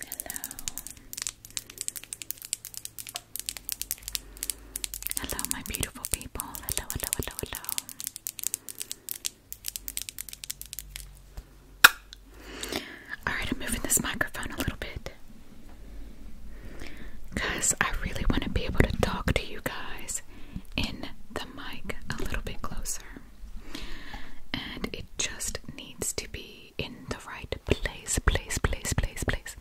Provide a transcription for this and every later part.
Hello. Hello, my beautiful people. Hello, hello, hello, hello. Alright, I'm moving this microphone a little bit. Because I really want to be able to talk to you guys in the mic a little bit closer and it just needs to be in the right place, place, place, place, place.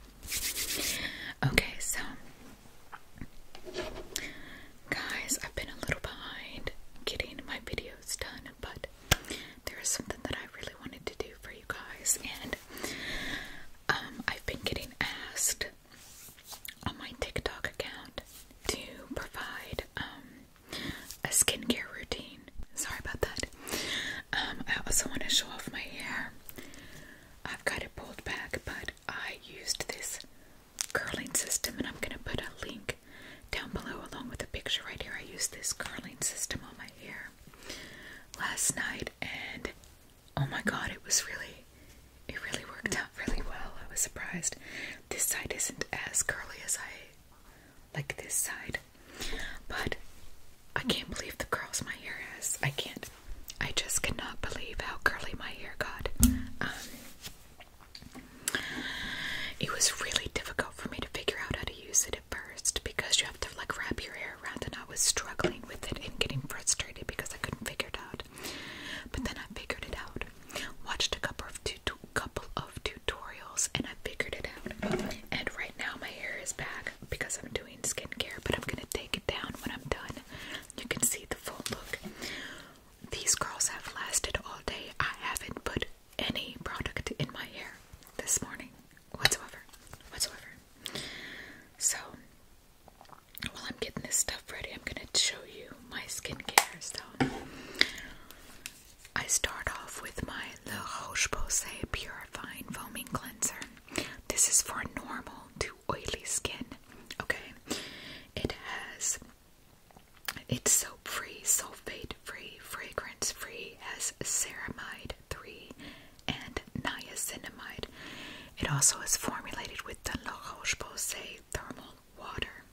Okay, so guys, I've been a little behind getting my videos done, but there is something that I really wanted to do for you guys, and um, I've been getting asked on my TikTok account to provide um, a skincare routine. Sorry about that. Um, I also want to show off my hair. I've got it pulled back, but I used this curling system, and I'm going to put a link down below along with a picture right here. I used this curling system on my hair last night, and oh my god, it was really, it really worked out really well. I was surprised. This side isn't as curly as I like this side. But I can't believe the curls my hair has. I can't. I just cannot believe how curly my hair got. Um, it was really difficult for me to figure out how to use it at first because you have to like wrap your hair around, and I was struggling with it and getting frustrated because I couldn't figure it out. But then I figured it out. Watched a couple of tutorials couple of tutorials and I figured it out. And right now my hair is back because I'm doing skincare, but I'm gonna take it down when I'm done. You can see the full look. These curls have lasted all day. I haven't put any product in my hair this morning whatsoever. Whatsoever. So while I'm getting this stuff ready, I'm gonna show you my skincare. So I start off with my Le Roche-Posay Purifying Foaming Cleanser. This is for normal to oily skin, okay? It has, it's soap-free, sulfate-free, fragrance-free, has ceramide 3 and niacinamide. It also is formulated with the La Roche-Posay Thermal Water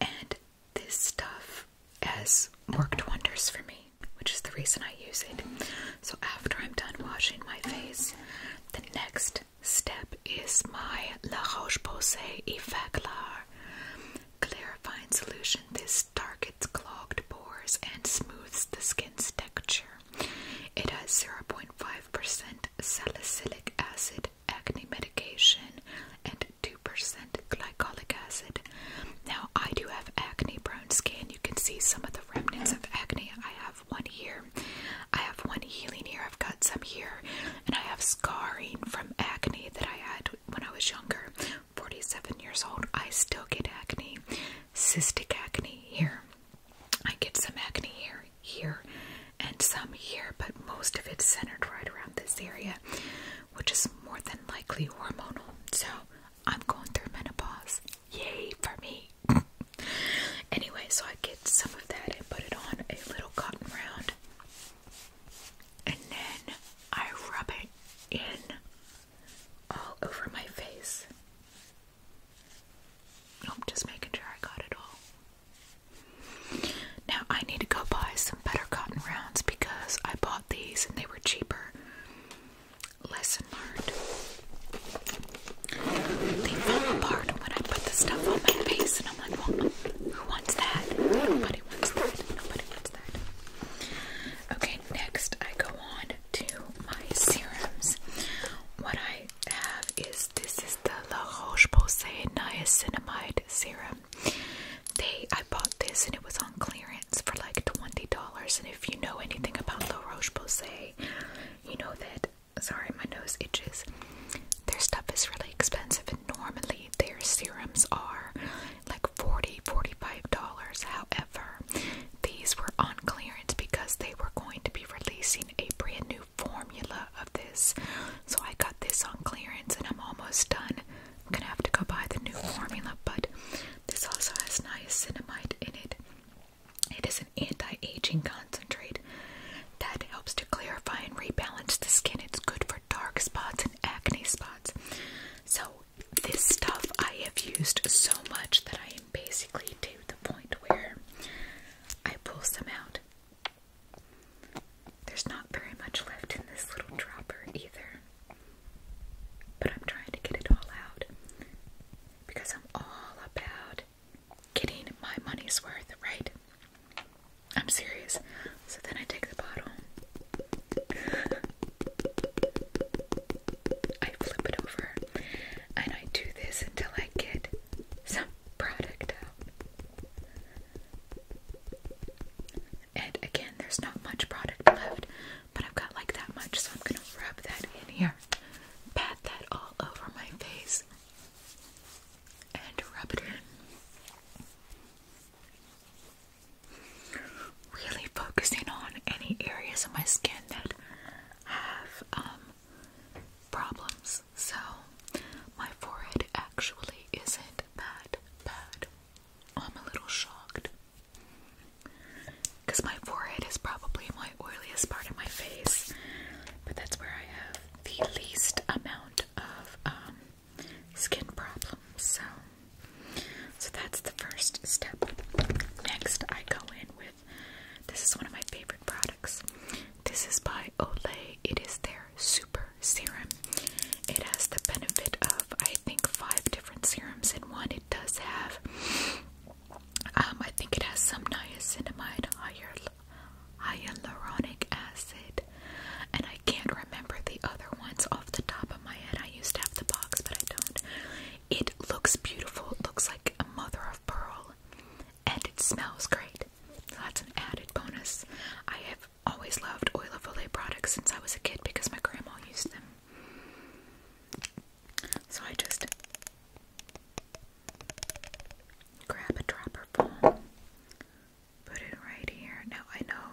and this stuff has worked wonders for me, which is the reason I use it. So after I'm done washing my face, the next step is my La Roche-Posay Effaclar clarifying solution. This targets clogged pores and smooths the skin's texture. It has 0.5% salicylic acid, acne medication, and 2% glycolic acid. Now, I do have acne prone skin. You can see some of the remnants of acne. I have one here, I have one healing here, I've got some here, and I have scarring from acne that I had when I was younger 47 years old. I still get acne, cystic acne here. I get some acne here, here, and some here, but most of it's centered right around this area, which is more than likely hormonal. So I'm going through menopause. Yay for me. anyway, so I get some of that and put it on a little cotton round. And then I rub it in all over my face. I'm just making sure I got it all. Now I need to go buy some better cotton rounds because I bought these and they were cheaper. Lesson learned. They fall apart when I put the stuff on my face and I'm like, who wants that? Nobody wants that. Nobody wants that. Okay, next I go on to my serums. What I have is this is the La Roche-Posay Niacinamide Serum. They, I bought this and it was on clearance for like $20. And if you know anything about La Roche-Posay, you know that, sorry, my nose itches. Their stuff is really expensive and normally their serums are like $40, $45. However, these were on clearance because they were going to be releasing a brand new formula of this. So I got this on clearance and I'm almost done. I'm gonna have to go buy the new formula, but this also has niacinamide in it. It is an anti-aging concentrate that helps to clarify and rebalance the skin. It's good for dark spots and acne spots. So this stuff I have used so much that I am basically to the point where I pull some out there's not very much left in this little dropper either. But I'm trying to get it all out because I'm all about getting my money's worth, right? I'm serious. So then I take the bottle, I flip it over, and I do this until I get some product out. And again, there's not much product left, but I've got like that much, so I'm gonna rub that in here, pat that all over my face, and rub it in. Really focusing on any areas of my skin that have um, problems. So, my forehead actually isn't that bad. I'm a little shocked. Because my forehead is probably my oiliest part of my face, but that's where I have the least amount of um, skin problems. So, so that's the first step. Next, I go in with this is one of my favorite products. This is by Olay it is their super serum. It has the benefit of, I think, five different serums in one. It does have, um, I think it has some niacinamide, hyaluronic acid, and I can't remember the other ones off the top of my head. I used to have the box, but I don't. It looks beautiful. It looks like a mother of pearl and it smells great. that's an added bonus. I have always loved Oil of Olay products since I was a kid because my grandma used them. So I just grab a dropper full, put it right here. Now I know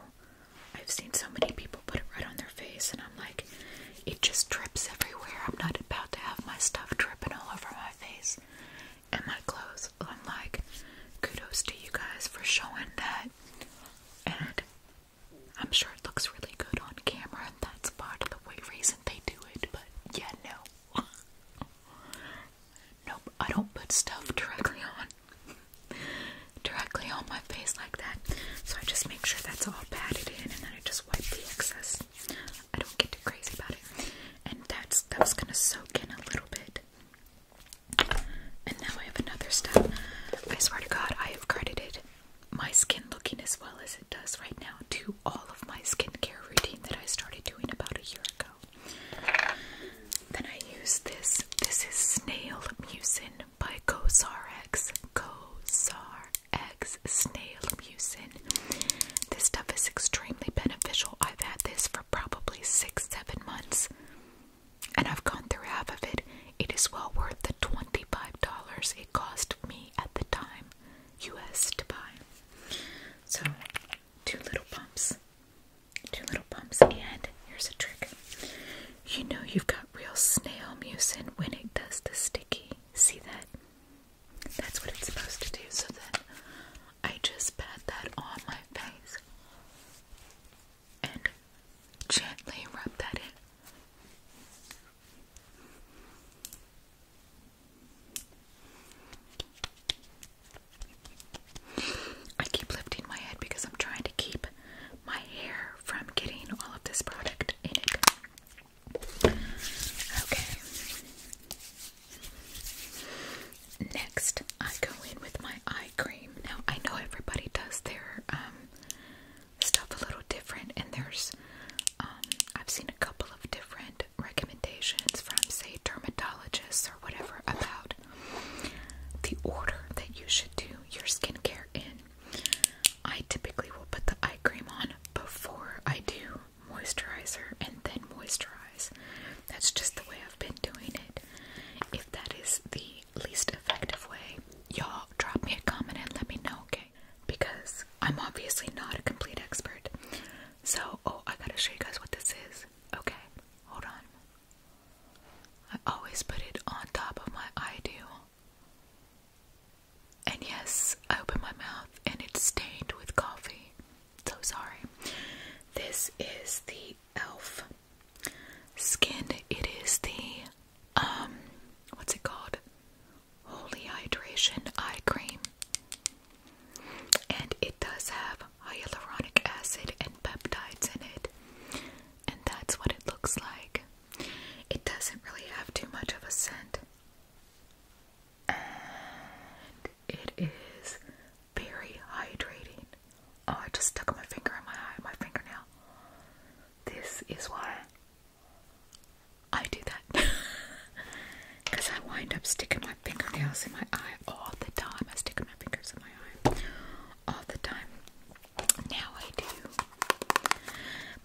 I've seen so many people put it right on their face, and I'm like, it just drips everywhere. I'm not about to have my stuff dripping all over my face and my clothes. I'm like, kudos to you guys for showing that. And I'm sure it looks really good on camera, that's part of the way reason they do it. But yeah, no, nope. I don't put stuff directly on, directly on my face like that. So I just make sure that's all padded in, and then I just wipe the excess I don't get too crazy about it. And that's that gonna soak in a little bit. And now I have another step. I swear to God, I have credited my skin looking as well as it does right now to all of my skincare routine that I started doing about a year ago. Then I use this. This is Snail Mucin by Cosrx. Cosrx Snail Mucin. This stuff is extremely beneficial. I've had this for probably six, seven months, and I've gone through half of it. It is well worth the $25 it cost me at the time, US to buy. So, two little pumps. Two little pumps, and here's a trick. You know you've got real snail mucin when it does the sticky. See that? That's what it's supposed to do. So that. I just pat that on my face and gently rub that in. I keep lifting my head because I'm trying to keep my hair from getting all of this product in Okay. Next, I go in with my eye cream. Now, I know everybody does their um, stuff a little different, and there's, um, I've seen a couple of different recommendations from, say, dermatologists or whatever about the order that you should do your skincare in. I typically will put the eye cream on before I do moisturizer, and then moisturize. That's just the way I've been doing it. If that is the least effective way, y'all drop me a comment and let me know, okay? Because I'm obviously not a complete expert. So, oh, I gotta show you guys what this is. Okay, hold on. I always put it on top of my ideal. And yes, I open my mouth and it's stained with coffee. So sorry. This is the e.l.f. skin. It is the, um, what's it called? Holy Hydration Eye Cream. And it does have hyaluronic acid and peptides in it. And that's what it looks like. It doesn't really have too much of a scent it is very hydrating. Oh, I just stuck my finger in my eye, my fingernail. This is why I do that. Because I wind up sticking my fingernails in my eye all the time. I stick my fingers in my eye all the time. Now I do.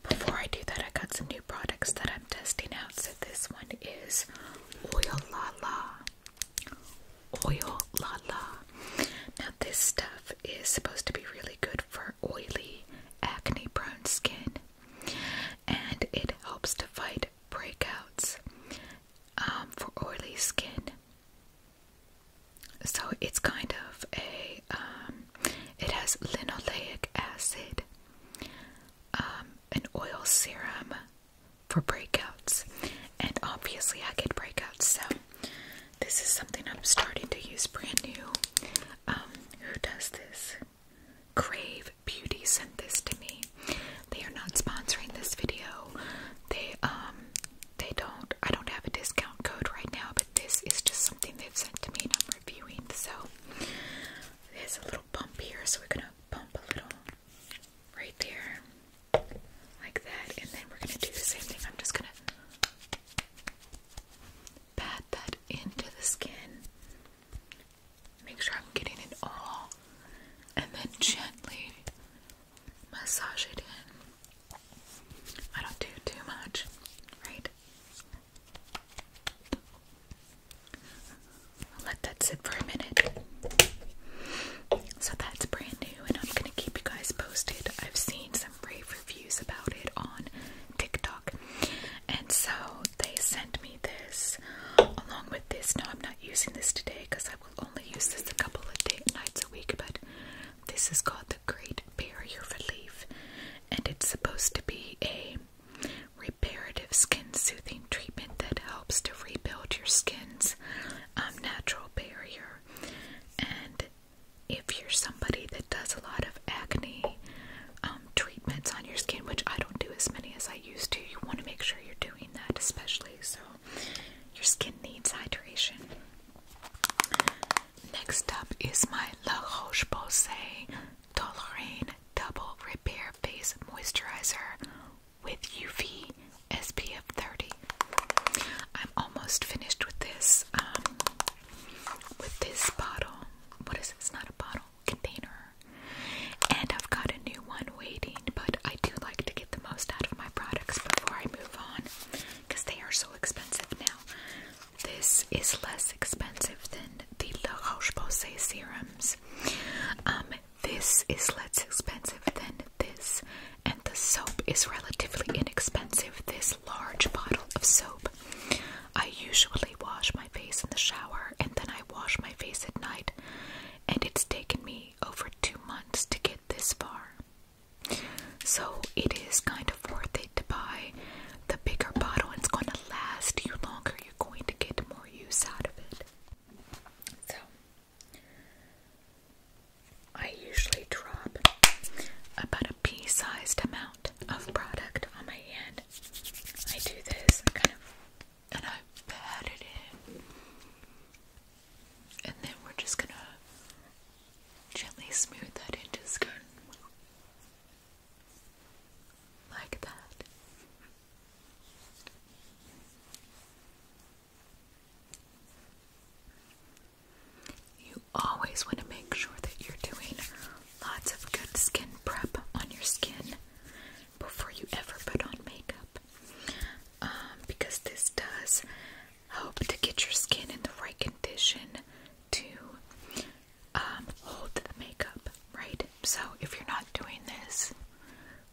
Before I do that, I got some new products that I'm testing out. So this one is Oil La La. Oil La La. Now, this stuff is supposed to be really good for oily, acne prone skin, and it helps to fight breakouts um, for oily skin. So, it's kind of a, um, it has linoleic acid. Um, an oil serum for breakouts, and obviously I get breakouts, so this is something I'm starting to use brand new. Um, who does this? Crave Beauty sent this to me. They are not sponsoring this video. They um they don't I don't have a discount code right now, but this is just something they've sent to me and I'm reviewing. So there's a little bump here, so we're gonna bump a little right there, like that, and then we're gonna do the same thing. I'm just gonna pat that into the skin, make sure I'm getting it all, and then gently massage it in. I don't do too much, right? i let that sit for a minute. So that's brand new, and I'm gonna keep you guys posted. I've seen some rave reviews about it on TikTok, and so they sent me this along with this. No, I'm not using this today because I will only use this a couple of nights a week. But this is called the Great Barrier Relief, and it's supposed to be a reparative skin soothing treatment that helps to rebuild your skin's um, natural barrier. And if you're somebody that does a lot of acne um, treatments on your skin, which I don't do as many as I used to, you want to make sure you're doing that, especially so your skin needs hydration. Next up is my La Roche Posay Toleraine Double Repair Face Moisturizer with UV SPF 30. I'm almost finished with this, um, with this bottle. What is it? It's not a bottle, container. And I've got a new one waiting, but I do like to get the most out of my products before I move on because they are so expensive now. This is less expensive than the La Roche-Posay serums. Um, this is less expensive than this, and the soap is relatively inexpensive. This large bottle of soap. I usually wash my face in the shower, and then I wash my face at night, and it's taken me over two months to get this far. So it is kind of worth it to buy the bigger bottle. It's going to last you longer you're going to get more use out of it. So, I usually drop about a pea sized amount of product on my hand. I do this kind of and I pat it in. And then we're just gonna gently smooth that into just go like that. You always want to make sure that you're doing lots of good skin prep on your skin before you ever put on makeup um, because this does help to get your skin in the right condition to um, hold the makeup, right? So if you're not doing this,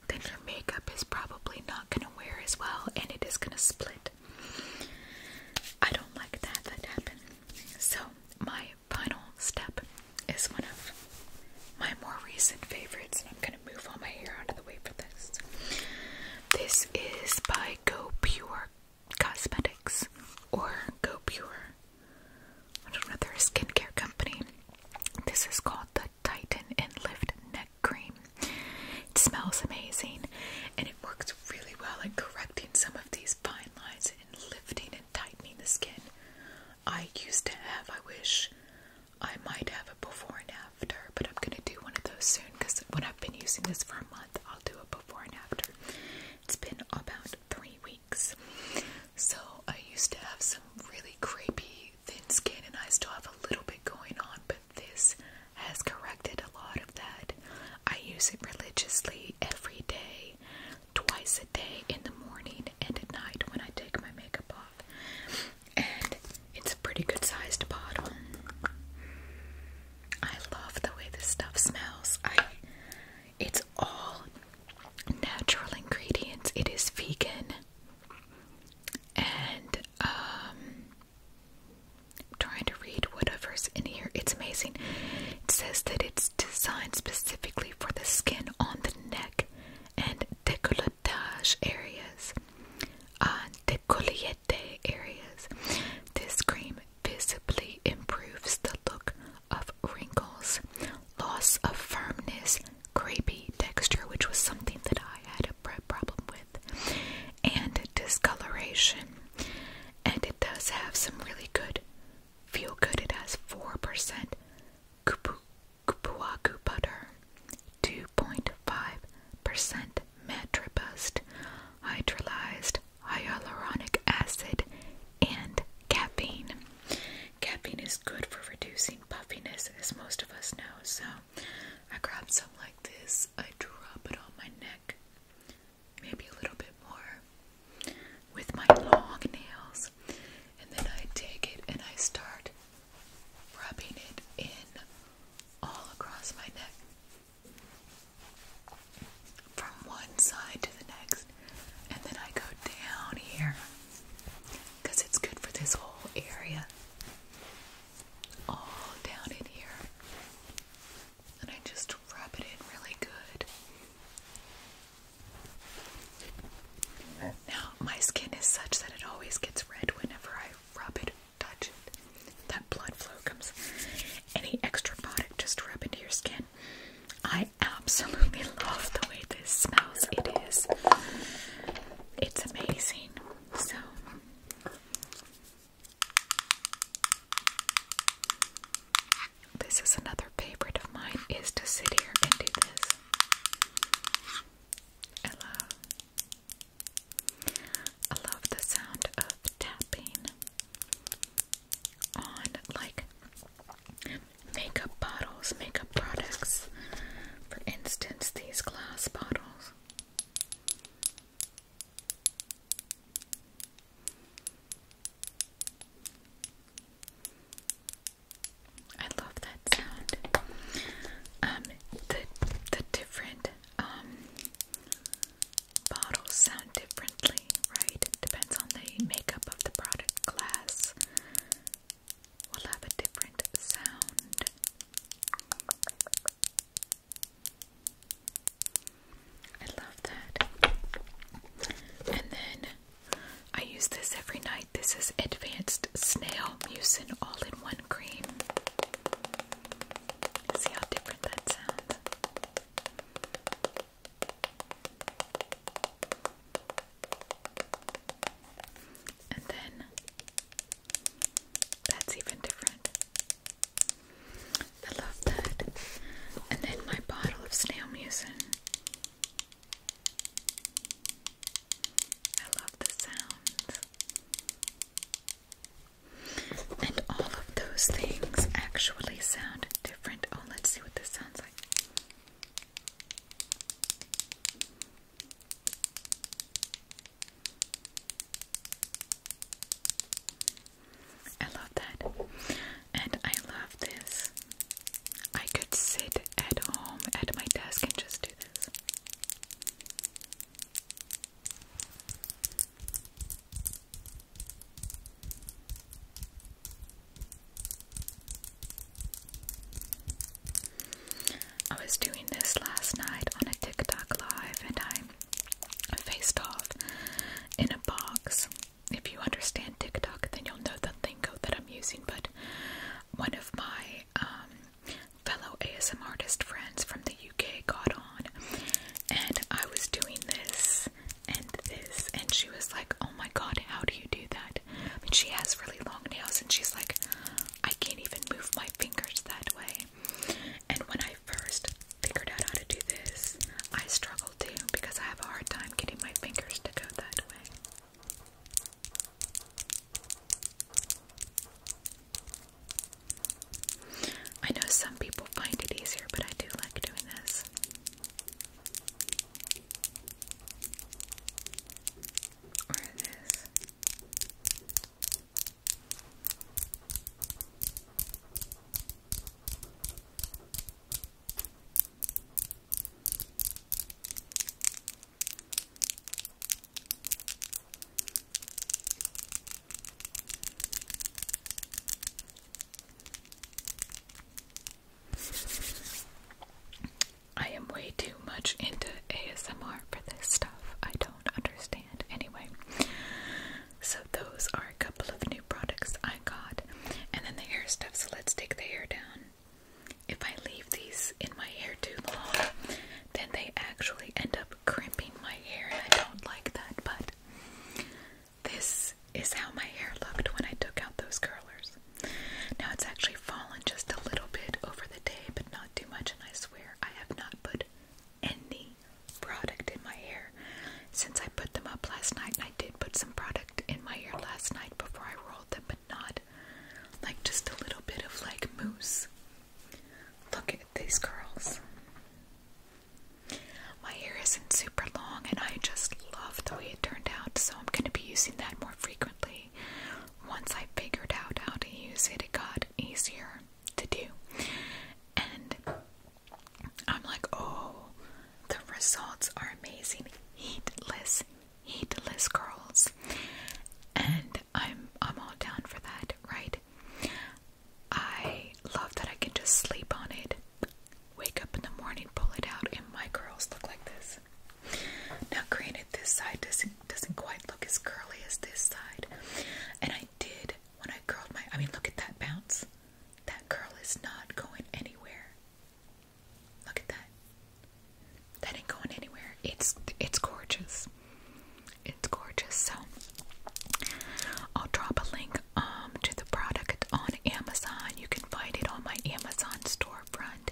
then your makeup is probably not going to wear as well and it is going to split. I don't like that that happened. So my final step is one of my more recent favorites and I'm going to move all my hair out of the way for this. This is by Go Pure Cosmetics or Go Pure I skincare company. This is called the Titan and Lift Neck Cream. It smells amazing and it works really well at correcting some of these fine lines and lifting and tightening the skin. I used to have, I wish I might have it before and after, but I'm gonna do one of those soon because when I've been using this for a month, I'll do a before and after. It's been about three weeks. So I used to have some really crepey thin skin and I still have a little bit going on, but this has corrected a lot of that. I use it religiously every day, twice a day in the morning and at night when I take my makeup off. And it's a pretty good sized bottle. I love the way this stuff smells. It's all natural ingredients. It is vegan. And um trying to read whatever's in here. It's amazing. It says that it's designed specifically for the skin on the neck and decolletage areas. Uh, decollete areas. This cream visibly improves the look of wrinkles, loss of firmness, crepey texture, which was something that I had a problem with, and discoloration. And it does have some really good feel good. It has 4% kupu, kupuaku butter, 2.5% metribust, hydrolyzed hyaluronic acid, and caffeine. Caffeine is good for reducing puffiness, as most of us know. So I grab some like this, I drop it on my neck, maybe a little bit more, with my long nails, and then I take it and I start rubbing it in all across my neck from one side to the next, and then I go down here it's good for this whole area, all down in here, and I just rub it in really good. Now, my skin is such that it always gets red whenever I rub it touch it. That blood flow comes. Any extra product just rub into your skin. I absolutely love the way this smells. It is, it's amazing. So, this is another favorite of mine is to sit here and do this. I love, I love the sound of tapping on like makeup bottles, makeup products. For instance, these glass bottles. I love that sound. Um, the the different um bottles sound differently, right? depends on the makeup of the product glass. Will have a different sound. I love that. And then I use this every night. This is Advanced Snail Mucin All in One Cream. See how different that sounds. And then that's even different. I love that. And then my bottle of snail mucin. I love the sound. And all of those things actually sound Oh, let's see what this sounds like. I love that. And I love this. I could sit at home at my desk and just do this. I was doing this last night on a TikTok live and I faced off in a box. If you understand TikTok, then you'll know the lingo that I'm using, but one of my um, fellow ASM artist friends from the UK got on and I was doing this and this and she was like oh my god how do you do that I mean she has really long nails and she's like I can't even move my fingers that way and when I first figured out how to do this I struggled too because I have a hard time getting my fingers to go that way I know some people find it easier, but I do like doing this. Or this. I am way too much into ASMR for this stuff. I don't understand. Anyway, so those are a couple of new products I got. And then the hair stuff, so let's take the hair down. If I leave these in my hair too long, then they actually end up crimping my hair, and I don't like that, but this is how my hair looked when I took out those curlers. Now it's actually fallen just a little bit over the day, but not too much, and I swear I have not put any product in my hair since I put them up last night, and I did put some product in my hair last night before I rolled them, but not like just a little bit of like mousse. Look, these curls. My hair isn't super long and I just love the way it turned out, so I'm going to be using that more frequently. Once I figured out how to use it, it got easier to do. And I'm like, oh, the results are amazing. Heatless, heatless curls. And I'm I'm all down for that, right? I love that I can just sleep on it, wake up in the morning, pull it out, and my curls look like this. Now, granted, this side doesn't doesn't quite look as curly as this side, and I did when I curled my. I mean, look at that bounce. That curl is not going anywhere. Look at that. That ain't going anywhere. It's it's gorgeous. It's gorgeous. So I'll drop a link um, to the product on Amazon. You can find it on my Amazon storefront.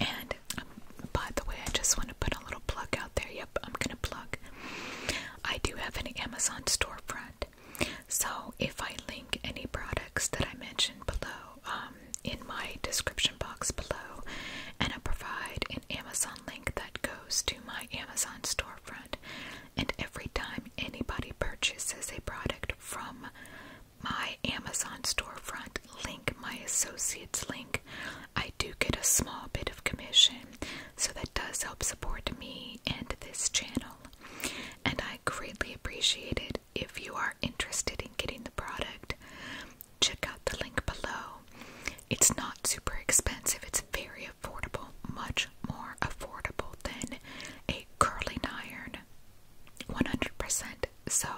And um, by the way, I just want to put a little plug out there. Yep, I'm going to plug. I do have an Amazon storefront. So if I link any products that I mentioned below um, in my description box below, and I provide an Amazon link that goes to my Amazon storefront, and every time anybody purchases a product from my Amazon storefront link, my associates link, I do get a small bit of commission. So that does help support me and this channel. And I greatly appreciate it. If you are interested in getting the product, check out the link below. It's not super expensive, it's very affordable, much more affordable than a curling iron. 100%. So,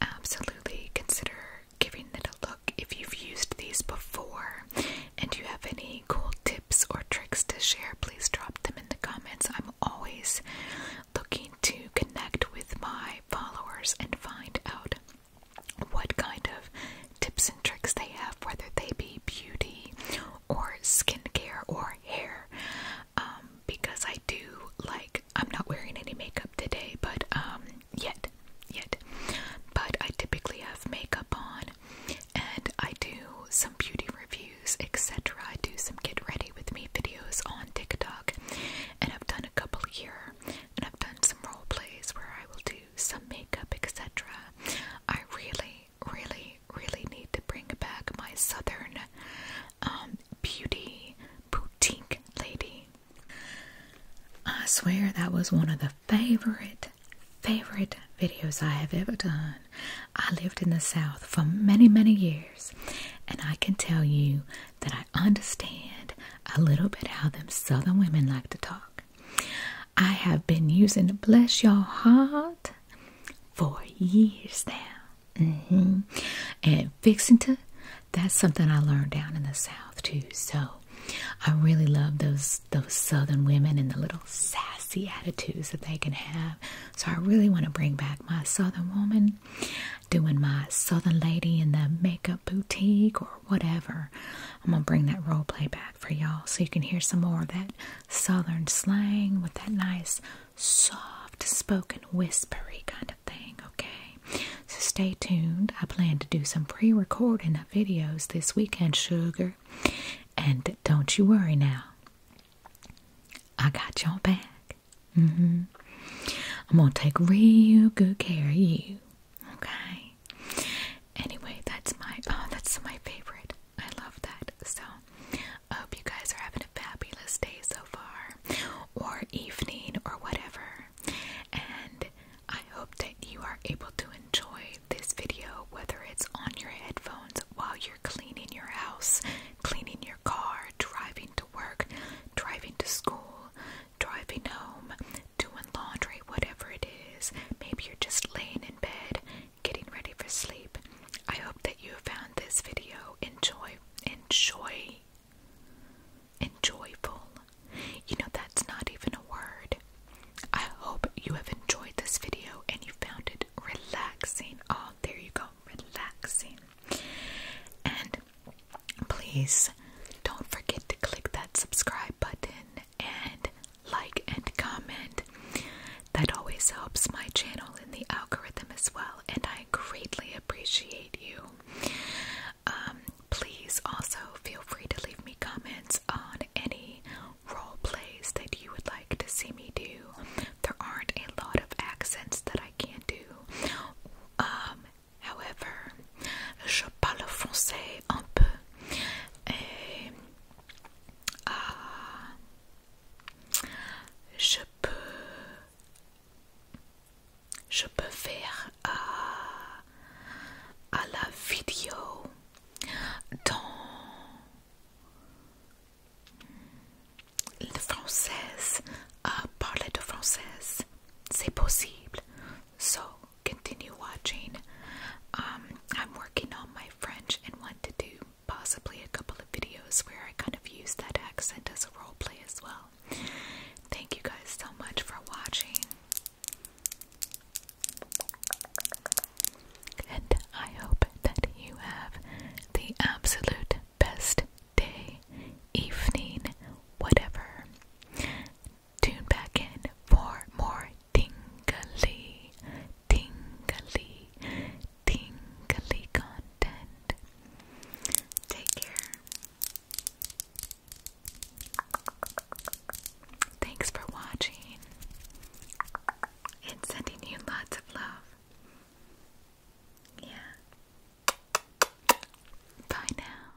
absolutely consider giving it a look if you've used these before and you have any cool tips or tricks to share, please drop them in the comments. I'm always looking to connect with my followers and find out what kind of tips and tricks they have, whether they be beauty or skincare or hair. Um, because I do like, I'm not wearing any makeup today, but um, yet, yet, but I typically have makeup on and I do some beauty reviews, etc. I do some get ready with me videos on TikTok and I've done a couple here and I've done some role plays where I will do some makeup, etc. I really, really, really need to bring back my southern um, beauty boutique lady. I swear that was one of the favorite, favorite videos I have ever done. I lived in the South for many, many years, and I can tell you that I understand a little bit how them Southern women like to talk. I have been using to bless your heart for years now. Mm-hmm. And fixing to, that's something I learned down in the South too. So I really love those those Southern women and the little sassy attitudes that they can have. So I really want to bring back my Southern woman, doing my Southern lady in the makeup boutique or whatever. I'm gonna bring that role play back for y'all so you can hear some more of that southern slang with that nice soft spoken whispery kind of thing, okay? So stay tuned. I plan to do some pre recording of videos this weekend, sugar. And don't you worry now. I got y'all back. Mm-hmm. I'm gonna take real good care of you. Okay. Anyway, that's my oh, that's my favorite. I love that. So I hope you guys are having a fabulous day so far, or evening, or whatever. And I hope that you are able to enjoy this video, whether it's on your headphones while you're cleaning your house, cleaning your car, driving to work, driving to school, driving home, doing laundry, whatever it is. Maybe you're just laying in bed, getting ready for sleep. I hope that you found this video enjoy, enjoy, enjoyful. You know, that's not even a word. I hope you have enjoyed this video and you found it relaxing. Oh, there you go, relaxing. And please don't forget to click that subscribe button and like and comment. That always helps my channel in the algorithm as well, and I greatly appreciate you. Um, please also feel free to leave me comments on any role plays that you would like to see me do. There aren't a lot of accents that I can do. Um, However, je parle français un peu et euh, je peux je peux faire euh, à la vidéo dans le français, à euh, parler de français, c'est possible continue watching. Um, I'm working on my French and want to do possibly a couple of videos where I kind of use that accent as a role play as well. Thank you guys so much for watching. And I hope that you have the absolute best day, evening, whatever tune back in for more tingly, tingly, tingly content. Take care. Thanks for watching and sending you lots of love. Yeah. Bye now.